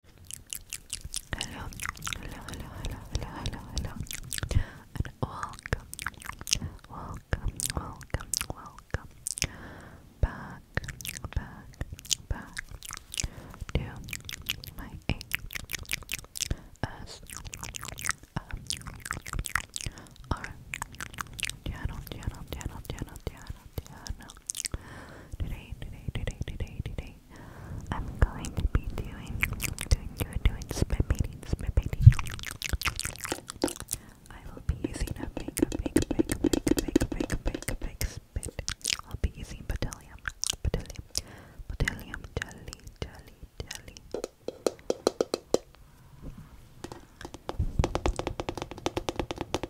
Hello, hello, hello, hello, hello, hello, hello, welcome, welcome, welcome, welcome back, back, back to my AS R channel, channel, channel, channel, today, today, today, today, today, I'm going to be doing, doing, doing, doing spit painting, spit painting. I will be using a big, big, big, big, big, big, big, big spit. I'll be using Botrytis, Botrytis, Botrytis jelly, jelly, jelly.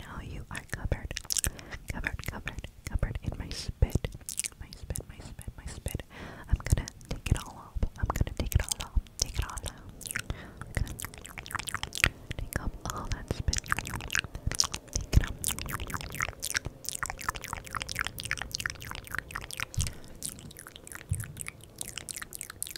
Now you are covered, covered, covered, covered in my spit. My spit, my spit, my spit. I'm gonna take it all off. I'm gonna take it all off. Take it all off. I'm gonna take up all that spit. Take it up.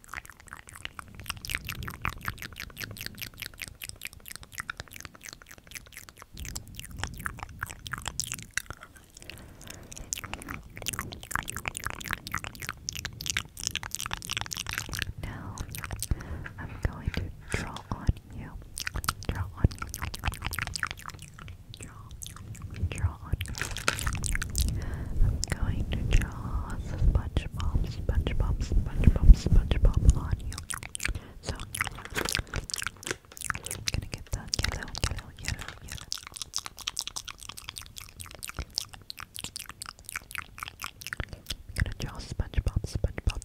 Now I'm going to draw on you. Draw on Draw. on I'm going to draw a bunch SpongeBob, SpongeBob, SpongeBob, SpongeBob on you. So, gonna get that yellow, yellow, yellow, yellow. gonna draw SpongeBob, SpongeBob.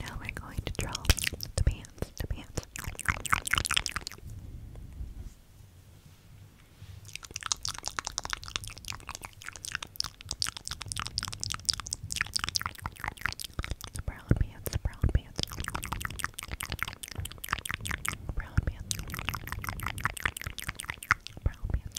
Now we're going to draw the pants, the pants. The brown pants, brown pants. Brown pants. Brown pants.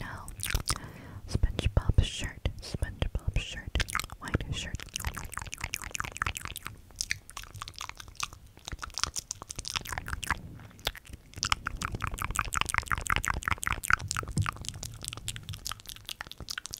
Now, SpongeBob shirt, SpongeBob shirt, white shirt.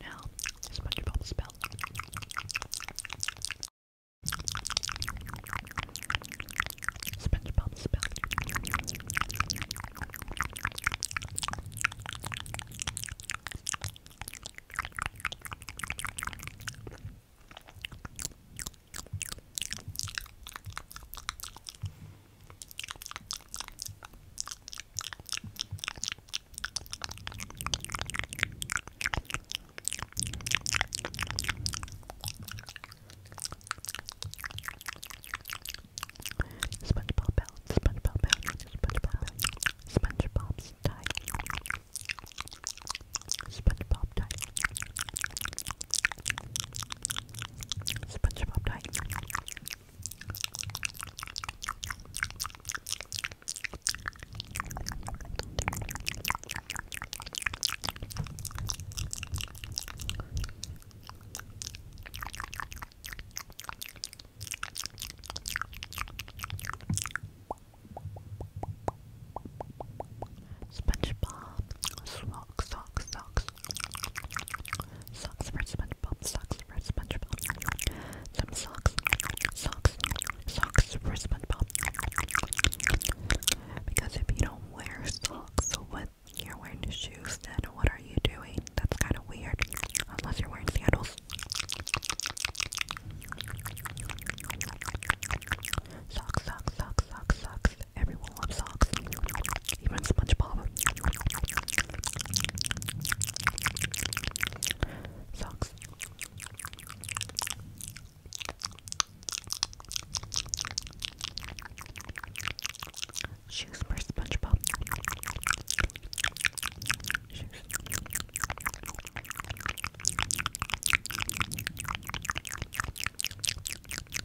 Now, SpongeBob spelled. SpongeBob spelled. SpongeBob out, SpongeBob out, SpongeBob out, SpongeBob's tight. SpongeBob tight. SpongeBob died. SpongeBob swallowed socks, socks, socks. Socks for SpongeBob, socks for SpongeBob. Some socks, socks, socks for SpongeBob. Because if you don't wear socks with you're wearing shoes, then what are you doing? That's kind of weird. Unless you're wearing sandals. Socks, socks, socks, socks, socks. Everyone loves socks. Even SpongeBob. Socks. Shoes for SpongeBob. Shoes.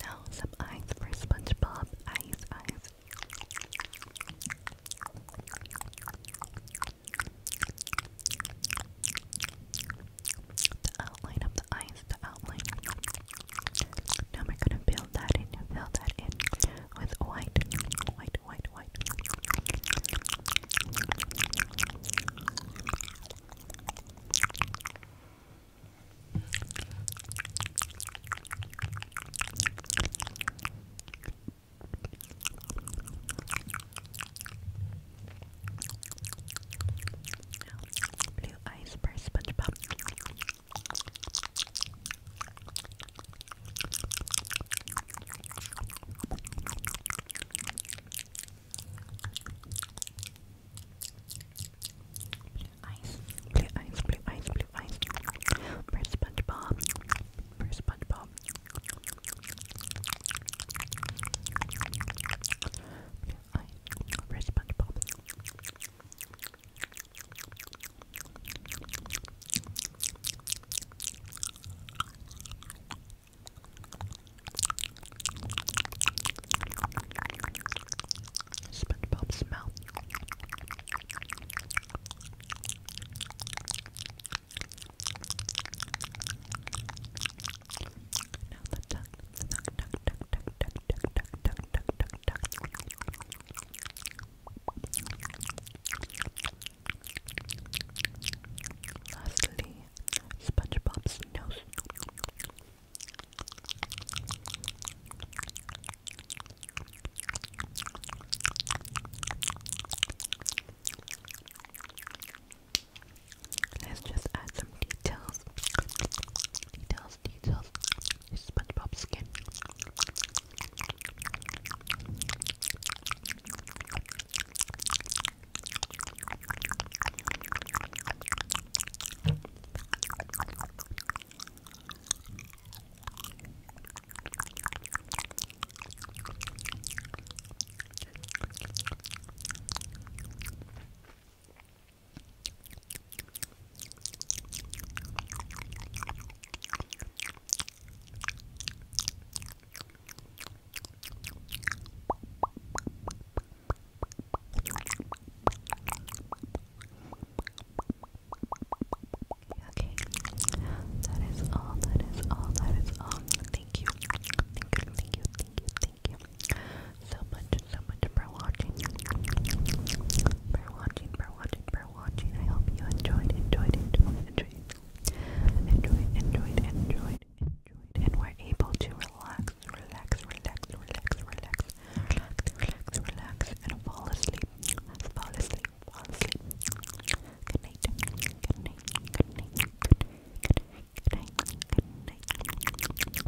Now some eyes for SpongeBob. Eyes, eyes. outline of the eyes, the outline. Now we're gonna build that in, fill that in with white, white, white, white. Blue Eyes by Blue eyes, blue eyes, blue eyes, First SpongeBob, first SpongeBob. first SpongeBob. SpongeBob's mouth. Now the tongue, Lastly, SpongeBob's nose. Let's just add some details. Details, details. SpongeBob skin. Okay, that is all, that is all, that is all. Thank you. Thank you, thank you, thank you, thank you, thank you so much, so much for watching. For watching, for watching, for watching. I hope you enjoyed, enjoyed, enjoyed, enjoyed. Enjoyed, enjoyed, enjoyed, enjoyed. And were able to relax, relax, relax, relax, relax, relax, relax, relax, and fall asleep. Fall asleep, fall asleep. Good night, good night, good night, good night, good night, good night.